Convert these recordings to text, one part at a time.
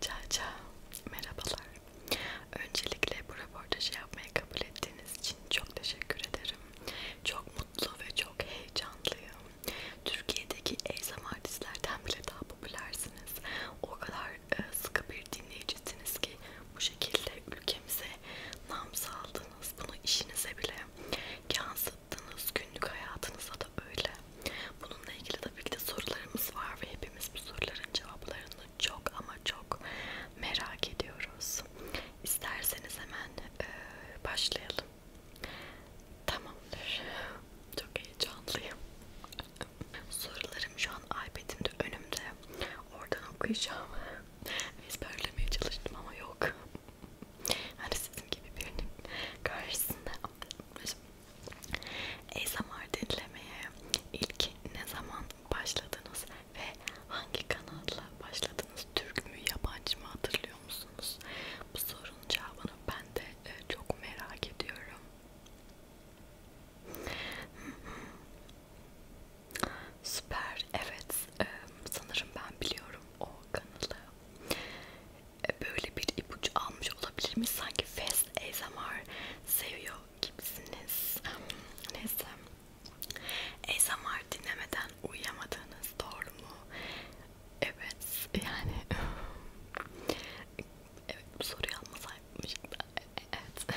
Çağça, merhabalar. Öncelikle bu röportajı yapmaya kabul ettiğiniz için çok teşekkür ederim. Çok mutlu ve çok heyecanlıyım. Türkiye'deki eysam artistlerden bile daha popülersiniz. O kadar e, sıkı bir dinleyicisiniz ki bu şekilde ülkemize nam saldınız. Bunu işinize bile yansıttınız. Günlük hayatınıza da öyle. Bununla ilgili tabii ki de sorularımız var ve hepimiz bu soruların cevaplarını çok ama çok merak ediyoruz. İsterseniz hemen e, başlayalım. Tamamdır. Çok heyecanlıyım. Sorularım şu an iPad'imde önümde. Oradan okuyacağım. Ezberlemeye çalıştım ama yok. Hani sizin gibi birinin karşısında. Şimdi ASMR dinlemeye ilk ne zaman başladınız ve hangi kanalla başladınız? Türk mü, yabancı mı hatırlıyor musunuz? Bu sorunun cevabını ben de e, çok merak ediyorum. Süper, evet e, sanırım ben biliyorum o kanalı. E, böyle bir ipucu almış olabilir mi? Sanki F biraz ASMR seviyor gibisiniz. Neyse. ASMR dinlemeden uyuyamadığınız doğru mu? Evet. Yani evet bu soruyu almasaymışım Evet.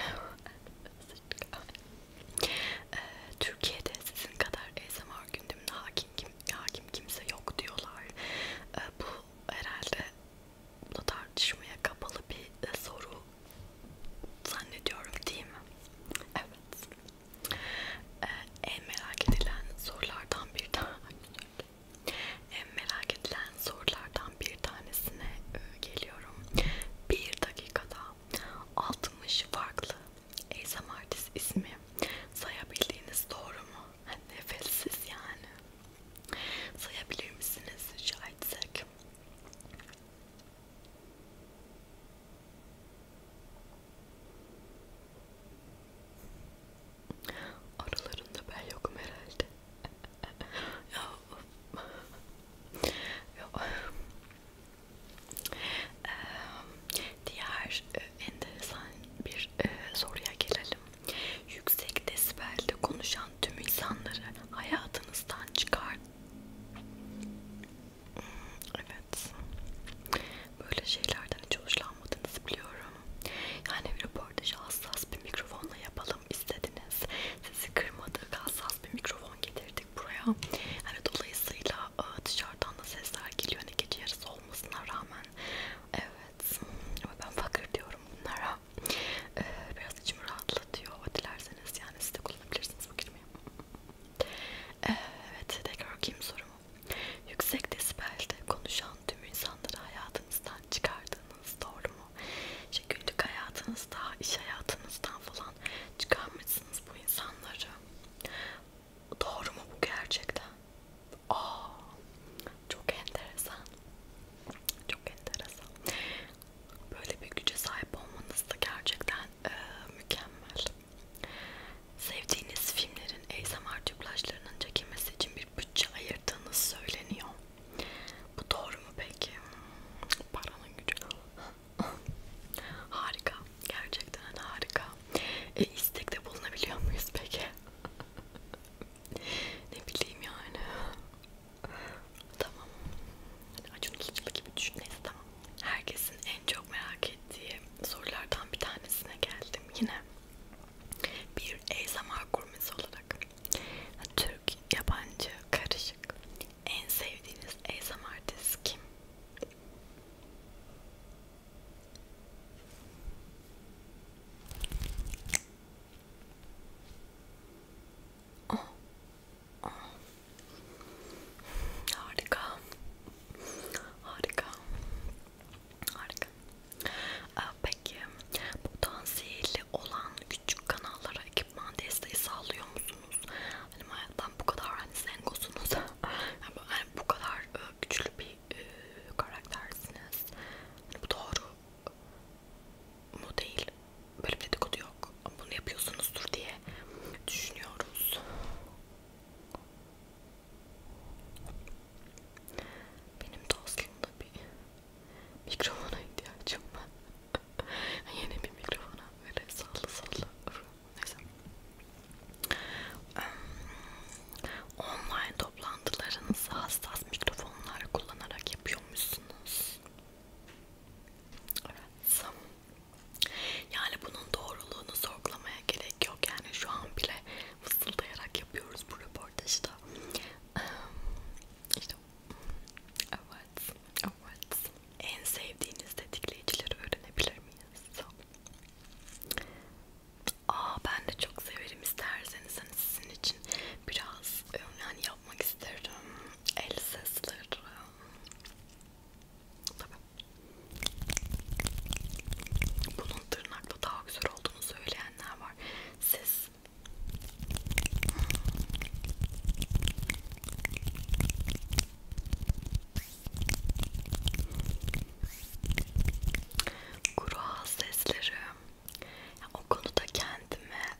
Ee, Türkiye'de sizin kadar ASMR gündemine hakim, kim, hakim kimse yok diyorlar. Ee, bu herhalde bu da tartışmaya kapalı bir e, soru zannediyorum değil mi? Evet. Ee, en merak edilen sorulardan bir tane en merak edilen sorulardan bir tanesine e, geliyorum. Bir dakikada 60 farklı ASMR ismi sayabildiğiniz doğru mu? Nefessiz yani. Sayabilir misiniz rica etsek? Aralarında ben yokum herhalde. ya, ya. Ee, diğer e, enteresan bir e, soruya gelelim. Yüksek desibelde konuşan tüm insanları hayatınızdan çıkar. Hmm, evet. Böyle şeylerden hiç hoşlanmadığınızı biliyorum. Yani röportajı hassas bir mikrofonla yapalım istediniz. Sizi kırmadık, hassas bir mikrofon getirdik buraya. Yani dolayısıyla e, dışarıdan da sesler geliyor. Hani gece yarısı olmasına rağmen. Evet. Ama ben fakir diyorum bunlara. Ee, biraz içimi rahatlatıyor. Dilerseniz yani siz de kullanabilirsiniz bu kelimeyi. Ee, evet tekrar okuyayım sorumu. Yüksek desibelde konuşan tüm insanları hayatınızdan çıkardığınız doğru mu? İşte günlük hayatınızda, iş hayatınızdan falan çıkarmışsınız bu insanları. Doğru mu bu gerçekten? Aa, çok enteresan. Çok enteresan. Böyle bir güce sahip olmanız da gerçekten e, mükemmel. Sevdiğiniz filmlerin ASMR dublajlarının çekilmesi için bir bütçe ayırdığınız söyleniyor. Bu doğru mu peki? Paranın gücü. harika. Gerçekten harika. E, istekte bulunabiliyor muyuz peki? ne bileyim yani. tamam. Acun tutulu gibi düşün. Neyse tamam. Herkesin en çok merak ettiği sorulardan bir tanesine geldim yine. Bir ASMR gurmesi olarak. Türk, yabancı, karışık. En sevdiğiniz ASMR artist kim? Oh. Oh. Harika. Harika. Harika. Ee, peki potansiyeli olan küçük kanallara ekipman desteği sağlıyor musunuz? Hani hayattan bu kadar hani zengosunuz. yani bu kadar e, güçlü bir e, karaktersiniz. Hani bu doğru mu değil. Böyle bir dedikodu yok. Bunu yapıyorsunuzdur diye düşünüyoruz. Benim de aslında bir mikrofona ihtiyacım var. Yeni bir mikrofona böyle sallı sallı. Neyse. Online toplantılarınızı hassas mikrofonlar kullanarak yapıyor düşünmüşsünüz. Evet. Yani bunun doğruluğunu sorgulamaya gerek yok. Yani şu an bile fısıldayarak yapıyoruz bu röportajı da. Ehm, işte evet, evet. En sevdiğiniz tetikleyicileri öğrenebilir miyiz? Aa ben de çok severim isterseniz hani sizin için biraz e, yani yapmak isterdim. El sesleri. Tabii. Bunun tırnakla daha güzel olduğunu söyleyenler var. Siz Kuru ağız sesleri. Ya, o konuda kendime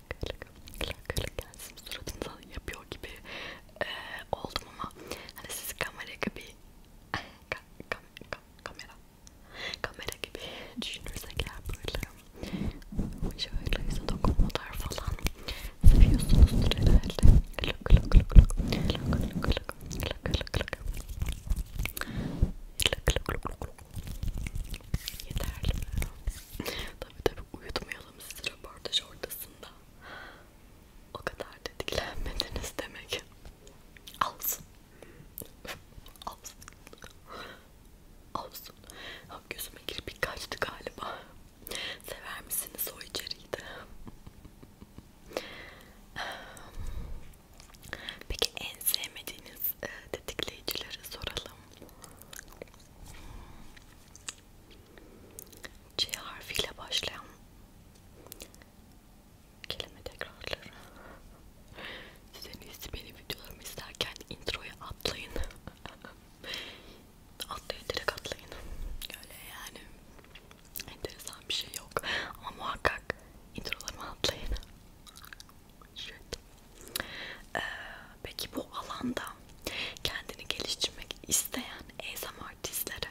lak lak lak lak yani sizin suratınıza yapıyor gibi e, oldum ama hani sizi kamera gibi ka kam kam kamera kamera gibi düşünürsek eğer böyle şöyle yüze dokunmalar falan seviyorsunuzdur herhalde lak lak lak lak lak lak lak Lak lak lak. Lak lak lak lak. Yeterli mi? tabii tabii uyutmayalım sizi röportaj ortasında. O kadar tetiklenmediniz demek. Alsın. Alsın. Alsın. Ha, gözüme girip kaçtı galiba. Sever misiniz o içeriği de? Peki en sevmediğiniz e, tetikleyicileri soralım. C harfiyle başlayan kelime tekrarları. Siz en iyisi benim videolarımı izlerken introya atlayın. atlayın direkt atlayın. Öyle yani enteresan bir şey yok. Ama muhakkak introlarımı atlayın. Shit. Ee, peki bu alanda kendini geliştirmek isteyen ASMR artistlere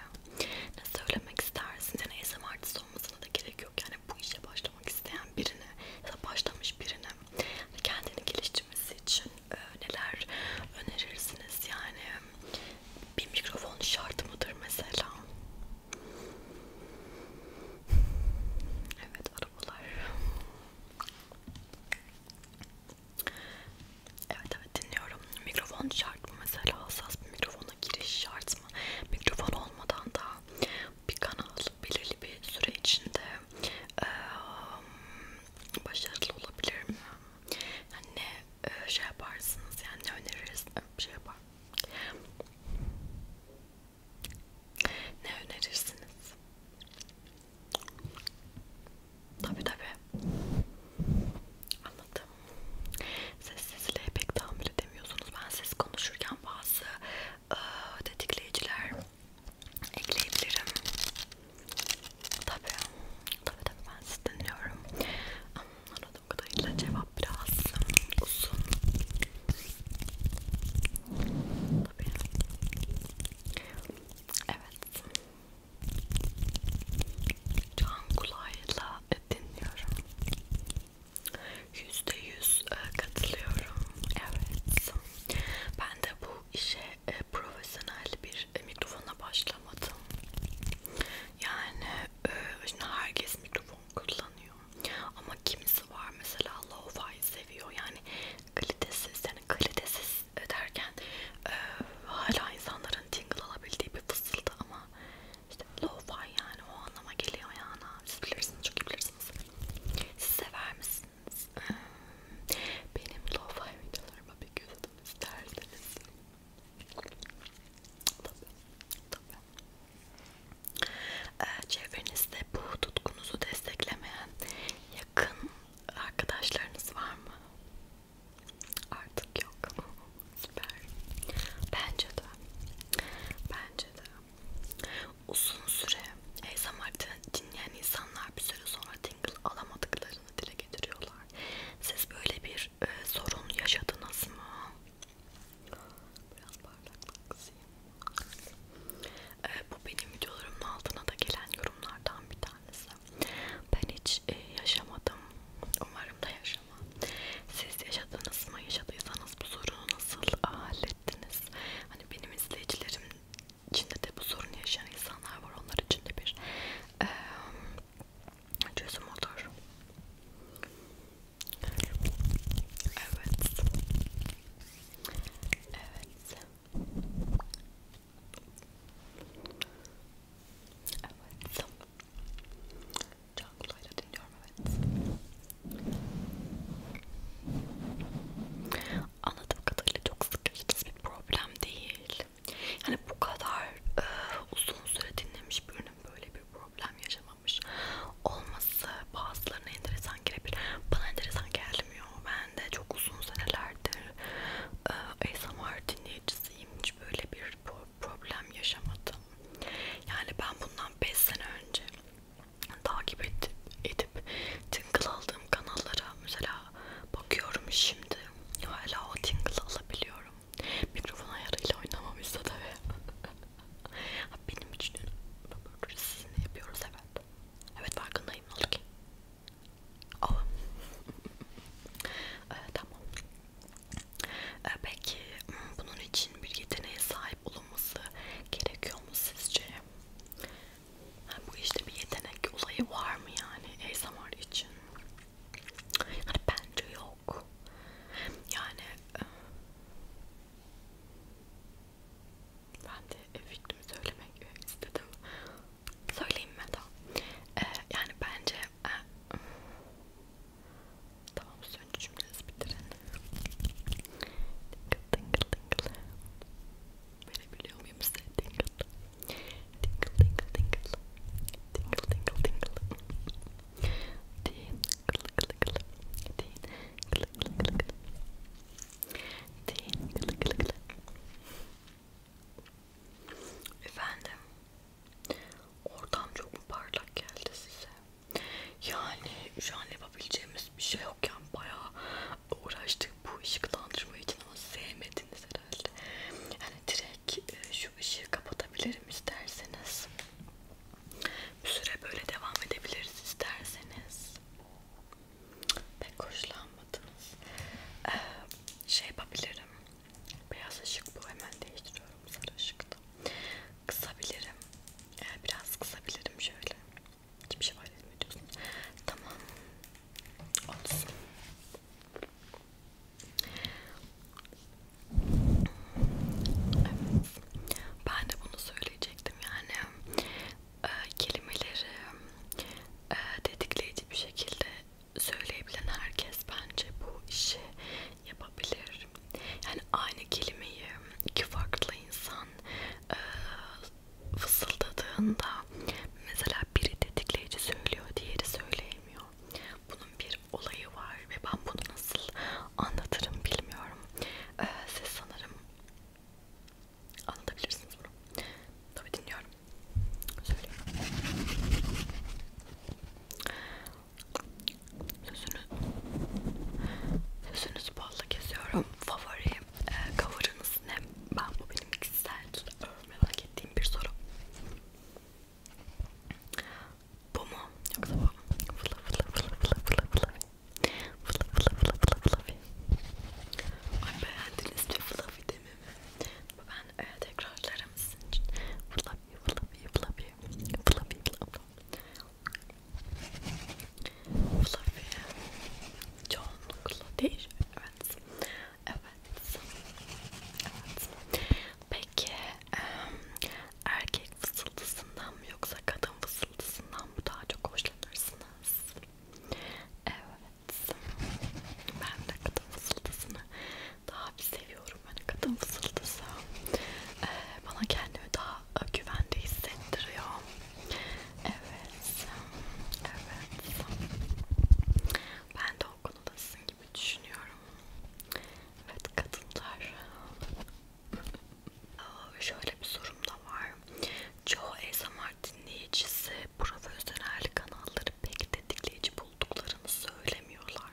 ne söylemek istersin? Yani ASMR artist olmasına da gerek yok. Yani bu işe başlamak isteyen birine ya da başlamış birine kendini geliştirmesi için e, neler önerirsiniz? Yani bir mikrofon şart mıdır mesela? Evet arabalar Evet evet dinliyorum. Mikrofon şart mı mesela? Hassas bir mikrofona giriş şart mı? Mikrofon olmadan da bir kanal belirli bir süre içinde e, başarılı olabilir mi? Yani ne e, şey yaparsınız yani ne öneririz? Şey yapar. Ne önerirsiniz? Tabi tabi. Anladım. Sessizliğe pek tahammül edemiyorsunuz. Ben ses konuşurken bazı ıı, tetikleyiciler ekleyebilirim. Tabi. Tabi tabi ben sizi dinliyorum. Anladığım kadarıyla cevap biraz uzun. Tabii. Evet. Can kulağıyla dinliyorum. Yüzde yüz e, katılıyorum. Evet. Ben de bu işe e, profesyonel bir e, mikrofona başlamadım. Yani şimdi herkes mikrofon kullanıyor. Ama kimisi var mesela lo-fi seviyor. Yani kalitesiz, yani kalitesiz derken e, hala insanların tingle alabildiği bir fısıldı ama işte lo-fi yani o anlama geliyor yani. Siz bilirsiniz, çok iyi bilirsiniz. Siz sever misiniz? Benim lo-fi videolarıma bir göz atın isterseniz. Tabii, tabii. Ee, çevrenizde bu tutkunuzu desteklemeyen yakın Arkadaşlarınız var mı? Artık yok. Süper. Bence de. Bence de. Uzun süre ASMR dinleyen insanlar bir süre sonra tingle alamadıklarını dile getiriyorlar. Siz böyle bir e, sorun yaşadınız mı? Biraz parlaklık kısayım. E, bu benim videolarımın altına da gelen yorumlardan bir tanesi aslında. Ben hiç e, yaşamadım. Umarım da yaşamam. Siz yaşadınız mı? Yaşadıysanız bu sorunu nasıl hallettiniz? Hani benim izleyicilerim içinde de bu sorunu yaşayan insanlar var. Onlar için de bir e, çözüm olur. Evet. Evet. Evet. Can kulağıyla dinliyorum evet. Anladığım kadarıyla çok sıkıcı bir problem değil. Yani bu kadar e, uzun süre dinlemiş birinin böyle bir problem yaşamamış olması bazılarına enteresan gelebilir. Bana enteresan geldi gelmiyor. Ben de çok uzun senelerdir e, ASMR dinleyicisiyim. Hiç böyle bir problem yaşamadım. Yani ben bundan 5 sene önce takip edip, edip tingle aldığım kanallara mesela bakıyorum şimdi hala o tingle alabiliyorum. Mikrofon ayarıyla oynamamışsa da benim için sizin yapıyoruz evet. Evet farkındayım ne oldu ki? Oh. ee, tamam. Ee, peki hmm, bunun için bir yeteneğe sahip olunması gerekiyor mu sizce? Ha, bu işte bir yetenek olayı var mı yani ASMR için? Yani bence yok. Yani e, ben de e, fikrimi söylemek istedim söyleyeyim mi tamam. Ee, yani bence e, tamam önce cümlenizi bitirin. Tingıl tingıl Verebiliyor muyum size? Tingıl tingıl tingıl tingıl tingıl tingıl tingıl din kıl kıl kıl din kıl kıl kıl din kıl kıl kıl Efendim, ortam çok mu parlak geldi size? Yani şu an yapabileceğimiz bir şey yokken bayağı uğraştık bu ışıklandırma için ama sevmediniz herhalde. Yani direkt e, şu ışığı kapatabilirim isterseniz. Bir süre böyle devam edebiliriz isterseniz. Pek hoşlanmadınız. Ee, şey yapabilirim. Beyaz ışık bu hemen değiştiriyorum sarı ışıkta. Kısabilirim. Ee, biraz kısabilirim şöyle. Hiçbir şey var etmiyorsun. Tamam. Olsun. Evet. Ben de bunu söyleyecektim yani e, kelimeleri e, dedikleyici bir şekilde söyleyebilen herkes bence bu işi yapabilir. Yani aynı kelimeyi iki farklı insan e, fısıldadığında mesela biri tetikleyici söylüyor, diğeri söyleyemiyor. Bunun bir olayı var ve ben bunu nasıl anlatırım bilmiyorum. E, siz sanırım Anlatabilirsiniz bunu. Tabii dinliyorum. Söyleyeyim. Sözünüz, sözünüz balla kesiyorum. Favori e, cover'ınız ne? Ben bu benim kişisel merak ettiğim bir soru. Bu mu? Yoksa bu mu? Fıla fıla fıla fıla fıla fıla Fıla fıla fıla fıla fıla Ay beğendiniz mi fıla fıla dememi. Ben e, tekrarlarım sizin için. Flappy, flappy, flappy, flappy, flappy. Fluffy çoğunlukla değil evet evet evet peki um, erkek fısıltısından mı yoksa kadın fısıltısından mı daha çok hoşlanırsınız Evet. Ben de kadın fısıltısını daha bir seviyorum. Hani kadın fısıltısı ee, bana kendimi daha güvende hissettiriyor. Evet. Evet. Ben de o konudasın gibi düşünüyorum. Evet kadınlar. Şöyle bir sorum da var. Çoğu ASMR haber dinleyicisi profesyonel kanalları pek tetikleyici bulduklarını söylemiyorlar.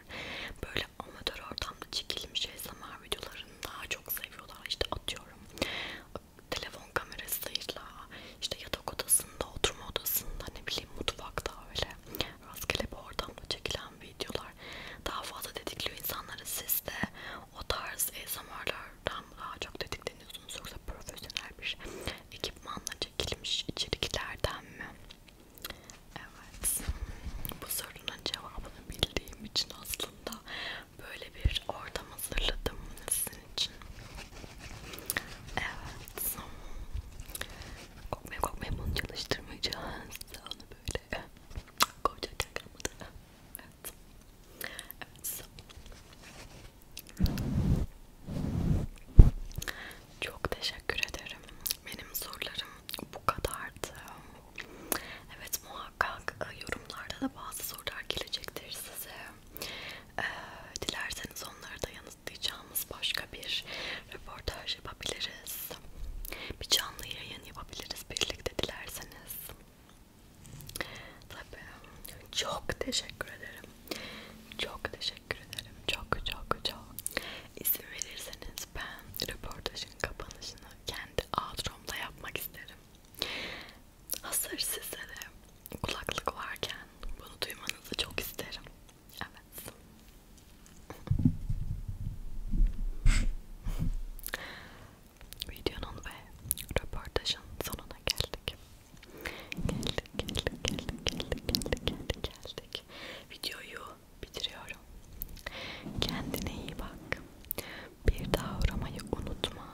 Böyle amatör ortamda çekilmiş ASMR videolarını daha çok seviyorlar. İşte atıyorum telefon kamerasıyla, işte yatak odasında, oturma odasında, ne bileyim mutfakta öyle rastgele bir ortamda çekilen videolar daha fazla tetikliyor insanları. Siz de o tarz ASMR'lardan daha çok tetikleniyorsunuz. Yoksa profesyonel bir ekipmanla çekilmiş içeriklerden mi? Evet. Bu sorunun cevabını bildiğim için aslında böyle bir ortam hazırladım sizin için. Evet. Kokmaya kokmaya bunu çalıştırmayacağız. Onu böyle koyacaklar kalmadı. Evet. Evet. Çok teşekkür ederim. Benim sorularım bu kadardı. Evet muhakkak e, yorumlarda da bazı sorular gelecektir size. Ee, dilerseniz onları da yanıtlayacağımız başka bir röportaj yapabiliriz. Bir canlı yayın yapabiliriz birlikte dilerseniz. Tabii. Çok teşekkür ederim. Çok teşekkür teşekkür ederim. Çok çok çok. İzin verirseniz ben röportajın kapanışını kendi outron'da yapmak isterim. Hazır size de kulaklık varken bunu duymanızı çok isterim. Evet. Videonun ve röportajın sonuna geldik. Geldik, geldik, geldik, geldik, geldik, geldik, geldik. Videoyu bitiriyorum. Kendine iyi bak. Bir daha uğramayı unutma.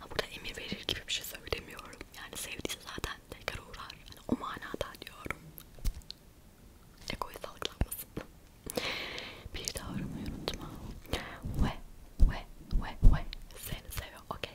Ha, burada emir verir gibi bir şey söylemiyorum. Yani sevdiyse zaten tekrar uğrar. Yani o manada diyorum. Ekoyu salgılanmasın. Bir daha uğramayı unutma. Ve, ve, ve, ve. Seni seviyorum. Okay.